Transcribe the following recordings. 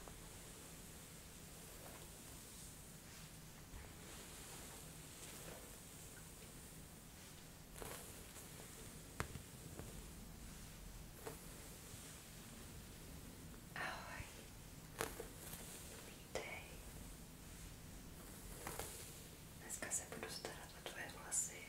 Ahoj, vítej. Dneska se budu starat o tvoje vlasy.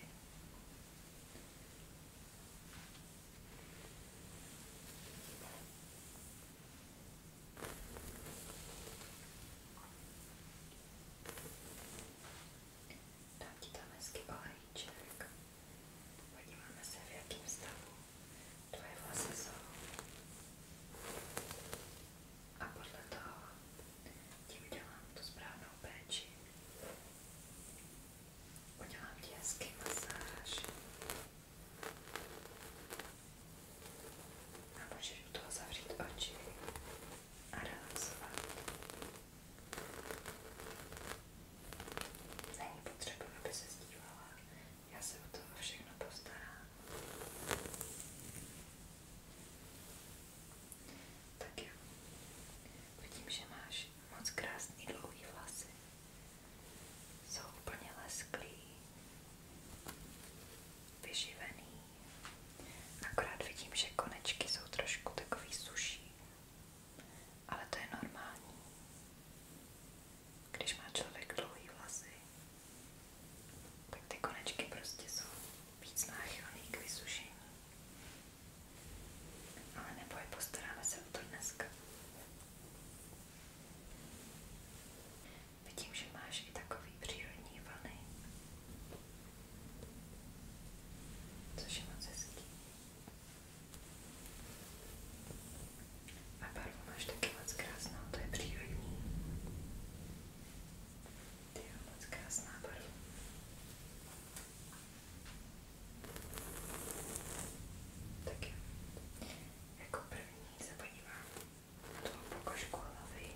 Dám ti tam hezky se, v jakém stavu tvoje vlasy jsou. A podle ti udělám tu správnou péči. Udělám ti hezký A můžeš u toho zavřít oči a relaxovat. Není potřeba, aby se zdívala. Já se o toho všechno postarám. Tak jo. Vidím, že máš moc krásný dlouhý vlasy. Jsou úplně lesklí, vyživený. Akorát vidím, že konečky jsou trošku takový suší, ale to je normální. Když má člověk dlouhý vlasy, tak ty konečky prostě jsou víc náchylný k vysušení. Ale neboj, postaráme se o to dneska. Vidím, že máš i takový přírodní vlny, což je moc hezký. A barvu máš taky moc krásnou, to je přírodní. Ty jo, moc krásná barva. Tak jo. Jako první se podívám na tu pokožku hlavy.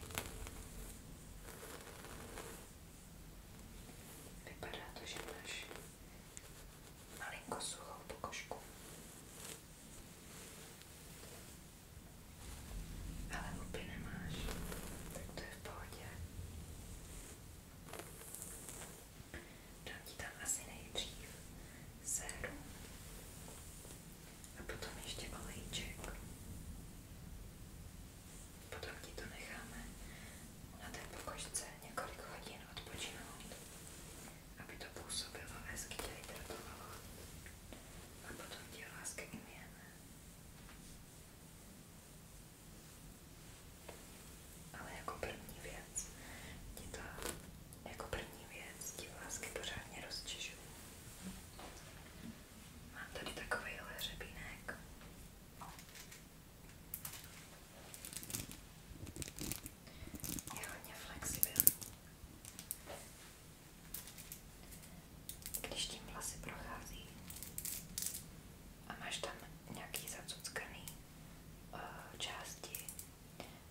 Vypadá to, že máš malinko suchou pokožku. Ale hupy nemáš, tak to je v pohodě. Dám ti tam asi nejdřív séru a potom ještě olejček. Potom ti to necháme na té pokožce několik hodin odpočinout, aby to působilo hezky tě hydratovalo a potom ti láska umějeme. Ale jako první věc ti to, jako první věc ti vlásky pořádně rozčižu. Mám tady takovýhle hřebínek. Je hodně flexibilní. Když tím vlasy prochází a máš tam nějaký zacuckaný Eh, části,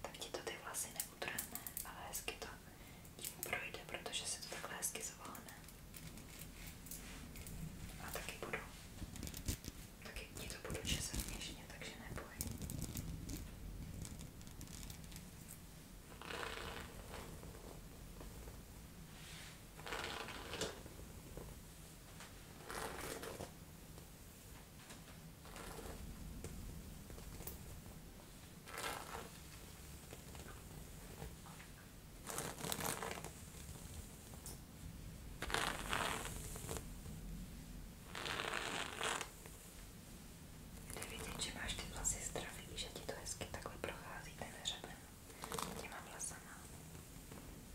tak ti to ty vlasy neutrhne, ale hezky to tím projde, protože se to takhle hezky zvolne. A taky budu, taky ti to budu česat měžně, takže neboj. Jde vidět, že máš ty vlasy zdraví, že ti to hezky takhle prochází ten hřeben těma vlasama.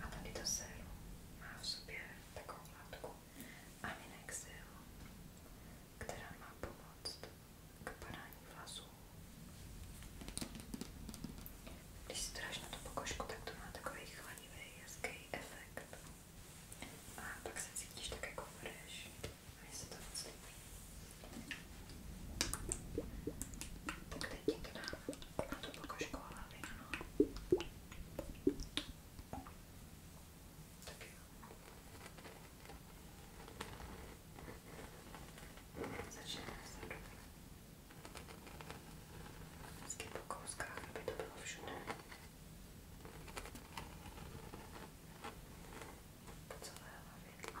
A tady to séru má v sobě takovou látku Aminexil, která má pomoct k padání vlasů. Když si to dáš na tu pokožku, tak to má takový chladivý, hezký efekt. A pak se cítíš tak jako fresh. Mně se to moc líbí. Tak teď to dám na tu pokožku hlavy, ano. Tak jo. Začneme vzadu. Vždycky po kouskách, aby to bylo všude. Po celé hlavě.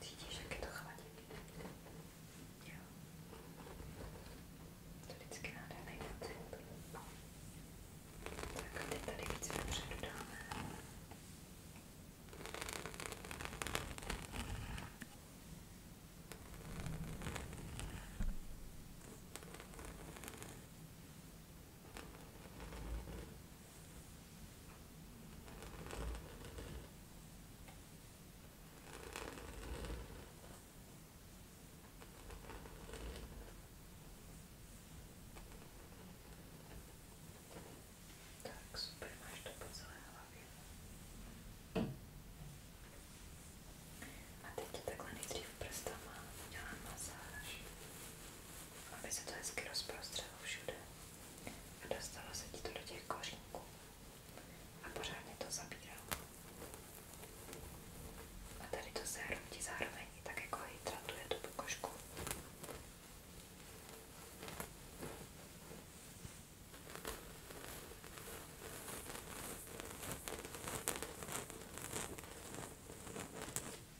Cítíš, jak je to chladí? Jo. To vždycky nádherný pocit. Tak a teď tady víc vepředu dáme. Tak, super, máš to po celé hlavě. A teď ti takhle nejdřív prstama udělám masáž aby se to hezky rozprostřelo všude a dostalo se ti to do těch kořínků a pořádně to zabíralo. A tady to sérum ti zároveň tak jako hydratuje tu pokožku.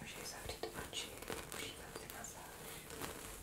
Můžeš zavřít oči, užívat si masáž. Můžeš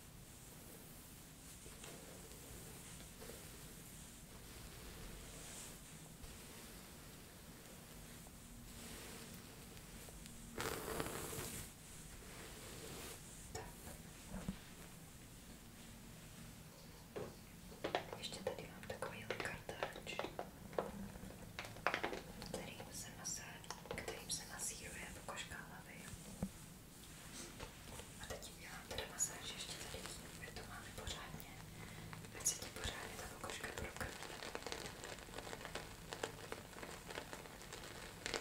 Ještě tady mám takový kartáč, kterým se, masé, kterým se masíruje pokožka jako hlavy. A teď ti udělám teda masáž ještě tady tím, kde to máme pořádně. Ať se ti pořádně ta pokožka prokrví. Teď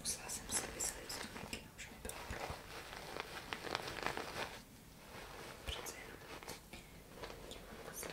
Musela jsem si vysadit stromky, už mi bylo pro. Přece jenom. Dělám masáž.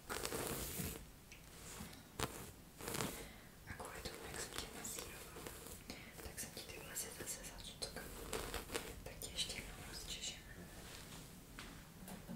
A kvůli tomu, jak jsem tě masírovala, tak jsem ti ty vlasy zase zacuckala. Tak tě ještě jednou rozčeším. Dobrý.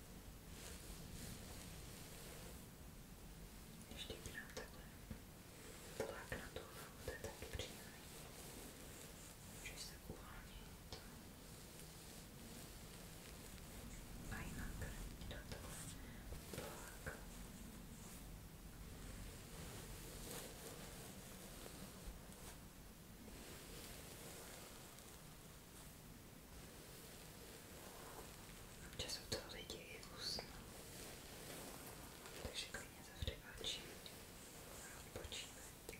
Ještě bych nám takhle tlak na tu hlavu, to je taky příjemný. Můžeš se uvolnit. A jinak do toho tlak. Ještě že jsou to lidi i úsměv. Takže klidně zavři oči a odpočívejte. Teď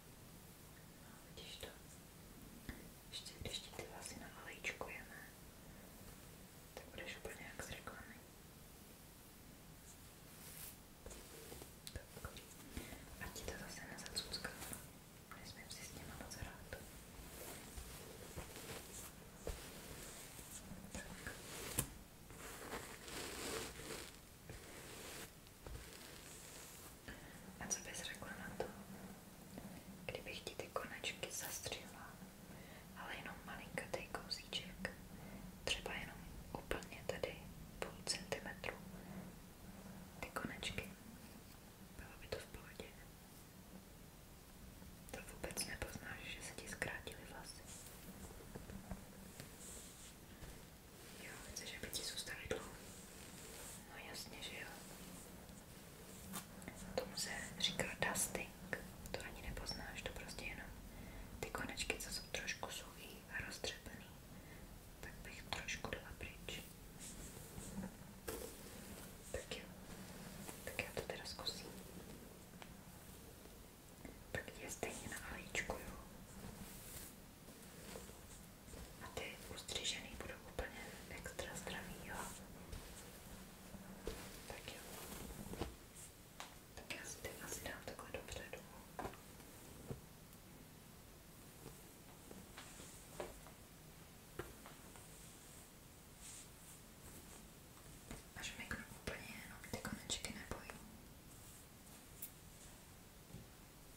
No, vidíš to? Ještě když ti ty vlasy navalíčkujeme, tak budeš úplně jak z reklamy. Tak. Ať ti to zase nezacucká. Nesmím si s těma moc hrát. Tak. A co bys řekla na to, kdybych ti ty konečky zastřihla, ale jenom malinkatý kousíček, třeba jenom úplně tady půl centimetru ty konečky. Bylo by to v pohodě. To vůbec nepoznáš, že se ti zkrátily vlasy. Jo, chceš, aby ti zůstaly dlouho? No jasně, že jo. Tomu se říká dusting. To ani nepoznáš, to prostě jenom ty konečky, co jsou trošku suchý a roztřepený, tak bych trošku dala pryč. Tak jo, tak já to teda zkusím. Tak je stejně na alíčku, jo. A ty ustřížený budou úplně extra zdravý, jo? Tak jo. Tak já si ty asi dám takhle dopředu. Až miknu úplně jenom ty konečky nebojím.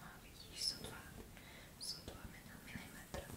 No vidíš, jsou dva, jsou dva milimetry. Dobrý.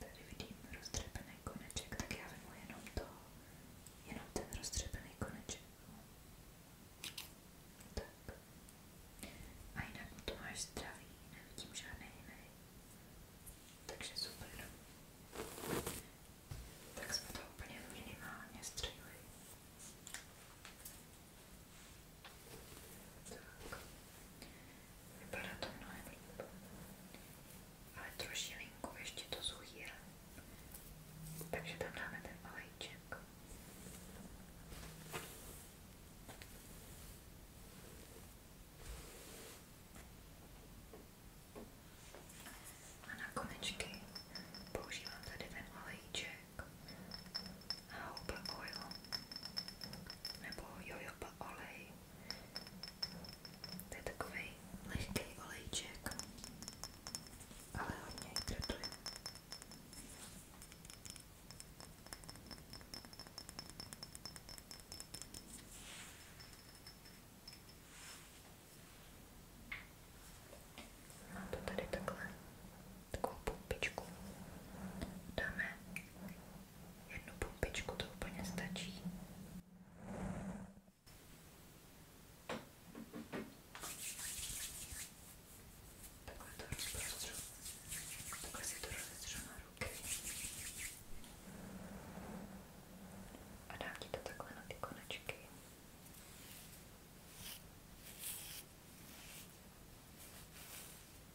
Tady vidím roztřepený koneček, tak já vemu jenom to, jenom ten roztřepený koneček. Tak. A jinak mu to máš zdravý, nevidím žádný jiný. Takže super. Tak jsme to úplně minimálně střihli. Tak. Vypadá to mnohem líp. Ale trošilinku ještě to zuhýra. Takže tam dáme ten olejček. A na konečky používám tady ten olejček Houba Oil nebo Jojoba olej. To je takový lehký olejček, ale hodně hydratuje. Mám to tady takhle takovou pumpičku. Dáme jednu pumpičku, to úplně stačí. Takhle to rozprostřu. Takhle si to rozestřu na ruky. A dám ti to takhle na ty konečky.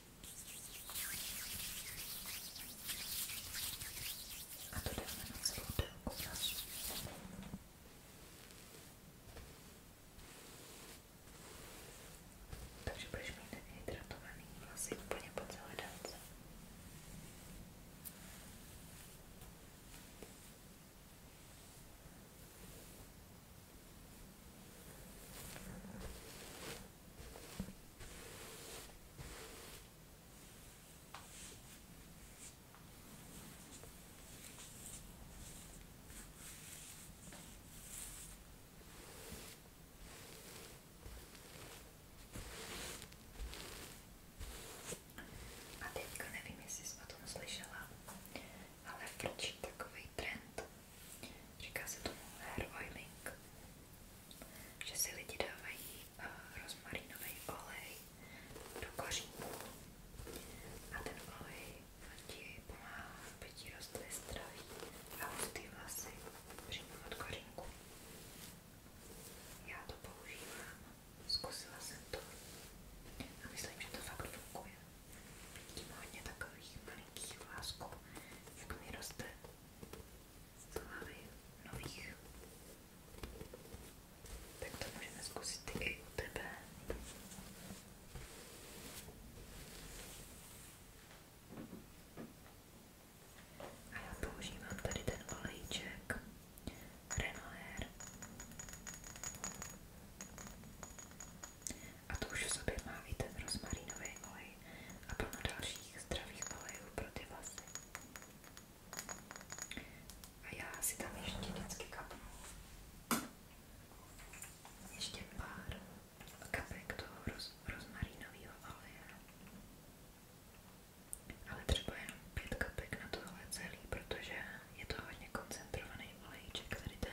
A to dáme na celou délku vlasů. Takže budeš mít hydratovaný vlasy úplně po celé délce. A teďka nevím, jestli jsi o tom slyšela, ale proč je takový trend? Říká se tomu hair oiling že si lidi dávají uh, rozmarinový olej do kořínků a ten olej ti pomáhá, aby ti rostly zdraví a hustý vlasy přímo od kořínku. Já to používám, zkusila jsem to a myslím, že to fakt funguje. Vidím hodně takových malinkých vlásků, jak mi roste co máme nových? Tak to můžeme zkusit i u tebe. A já používám tady ten olejček Renoir. A to už v sobě má i ten rozmarínový olej a plno dalších zdravých olejů pro ty A já si tam ještě vždycky kapnu ještě pár kapek toho roz, oleje. Ale třeba jenom pět kapek na tohle celý, protože je to hodně koncentrovaný olejček, tady ten.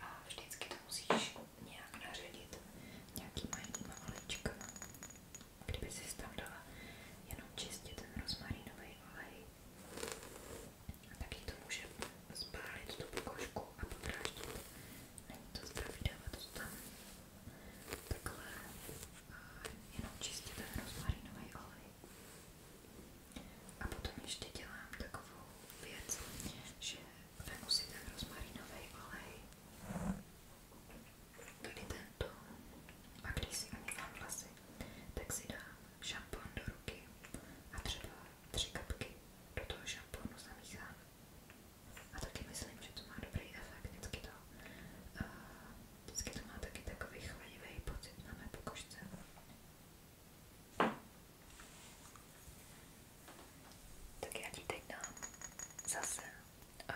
A vždycky to musíš nějak naředit nějakýma jinýma olejčkama. Kdyby si tam dala jenom čistě ten rozmarínový olej, taky to může spálit tu pokožku a podráždit. Není to zdravý dávat to tam takhle eh, jenom čistě ten rozmarínový olej. A potom ještě dělám takovou věc, že Vemu si ten rozmarinový olej, tady tento, a když si ani mám vlasy, tak si dám šampon do ruky a třeba tři kapky do toho šamponu zamíchám. A taky myslím, že to má dobrý efekt, vždycky to, uh, vždycky to má taky takový chladivý pocit na mé pokožce. Tak já ti teď dám zase eh,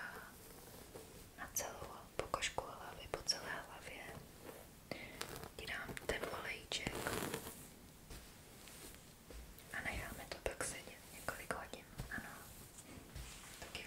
na celou pokožku hlavy, po celé hlavě ti dám ten olejček a necháme to pak sedět několik hodin, ano. Tak jo.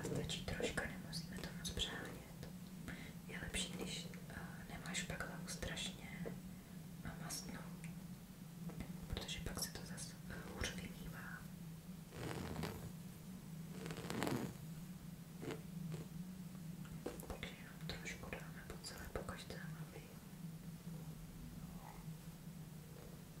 A stačí troška, nemusíme to moc přehánět. Je lepší, když uh, nemáš pak hlavu strašně mastnou, protože pak se to zase uh, hůř vymývá. Takže jenom trošku dáme po celé pokaždé hlavy.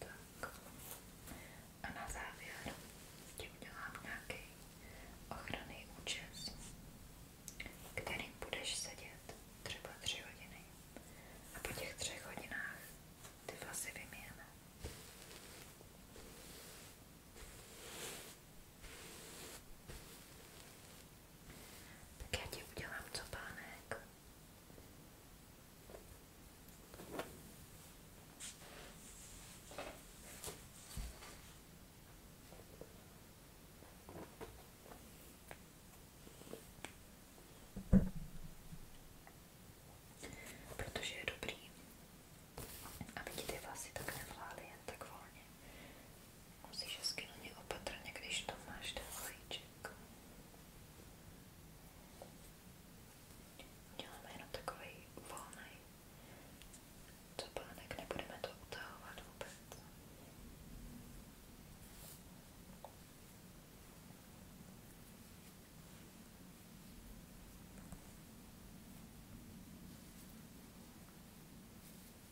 Tak. A na závěr ti udělám nějaký ochranný účes, kterým budeš sedět třeba tři hodiny. A po těch třech hodinách ty vlasy vymějeme. Tak já ti udělám copánek. Protože je dobrý, aby ti ty vlasy tak nevlály jen tak volně. Musíš hezky na ně opatrně, když to máš ten vajíček. Děláme jenom takový volný copánek, nebudeme to utahovat vůbec.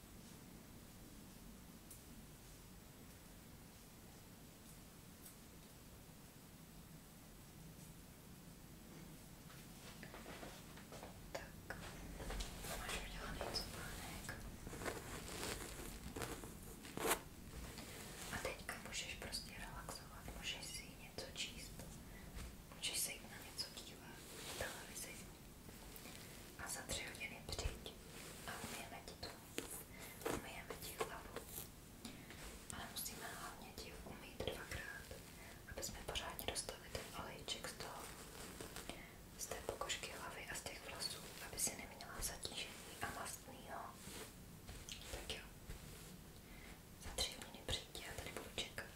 Tak, máš udělaný cupánek. A teďka můžeš prostě relaxovat, můžeš si něco číst, můžeš se jít na něco dívat, televizi, a za tři hodiny přijď a umyjeme ti to. Umyjeme ti hlavu. Ale musíme hlavně ti umýt dvakrát, aby jsme pořádně dostali ten olejček z toho, z té pokožky hlavy a z těch vlasů, aby si neměla zatížený a mastnýho. Tak jo. Za tři hodiny přijď a tady budu čekat.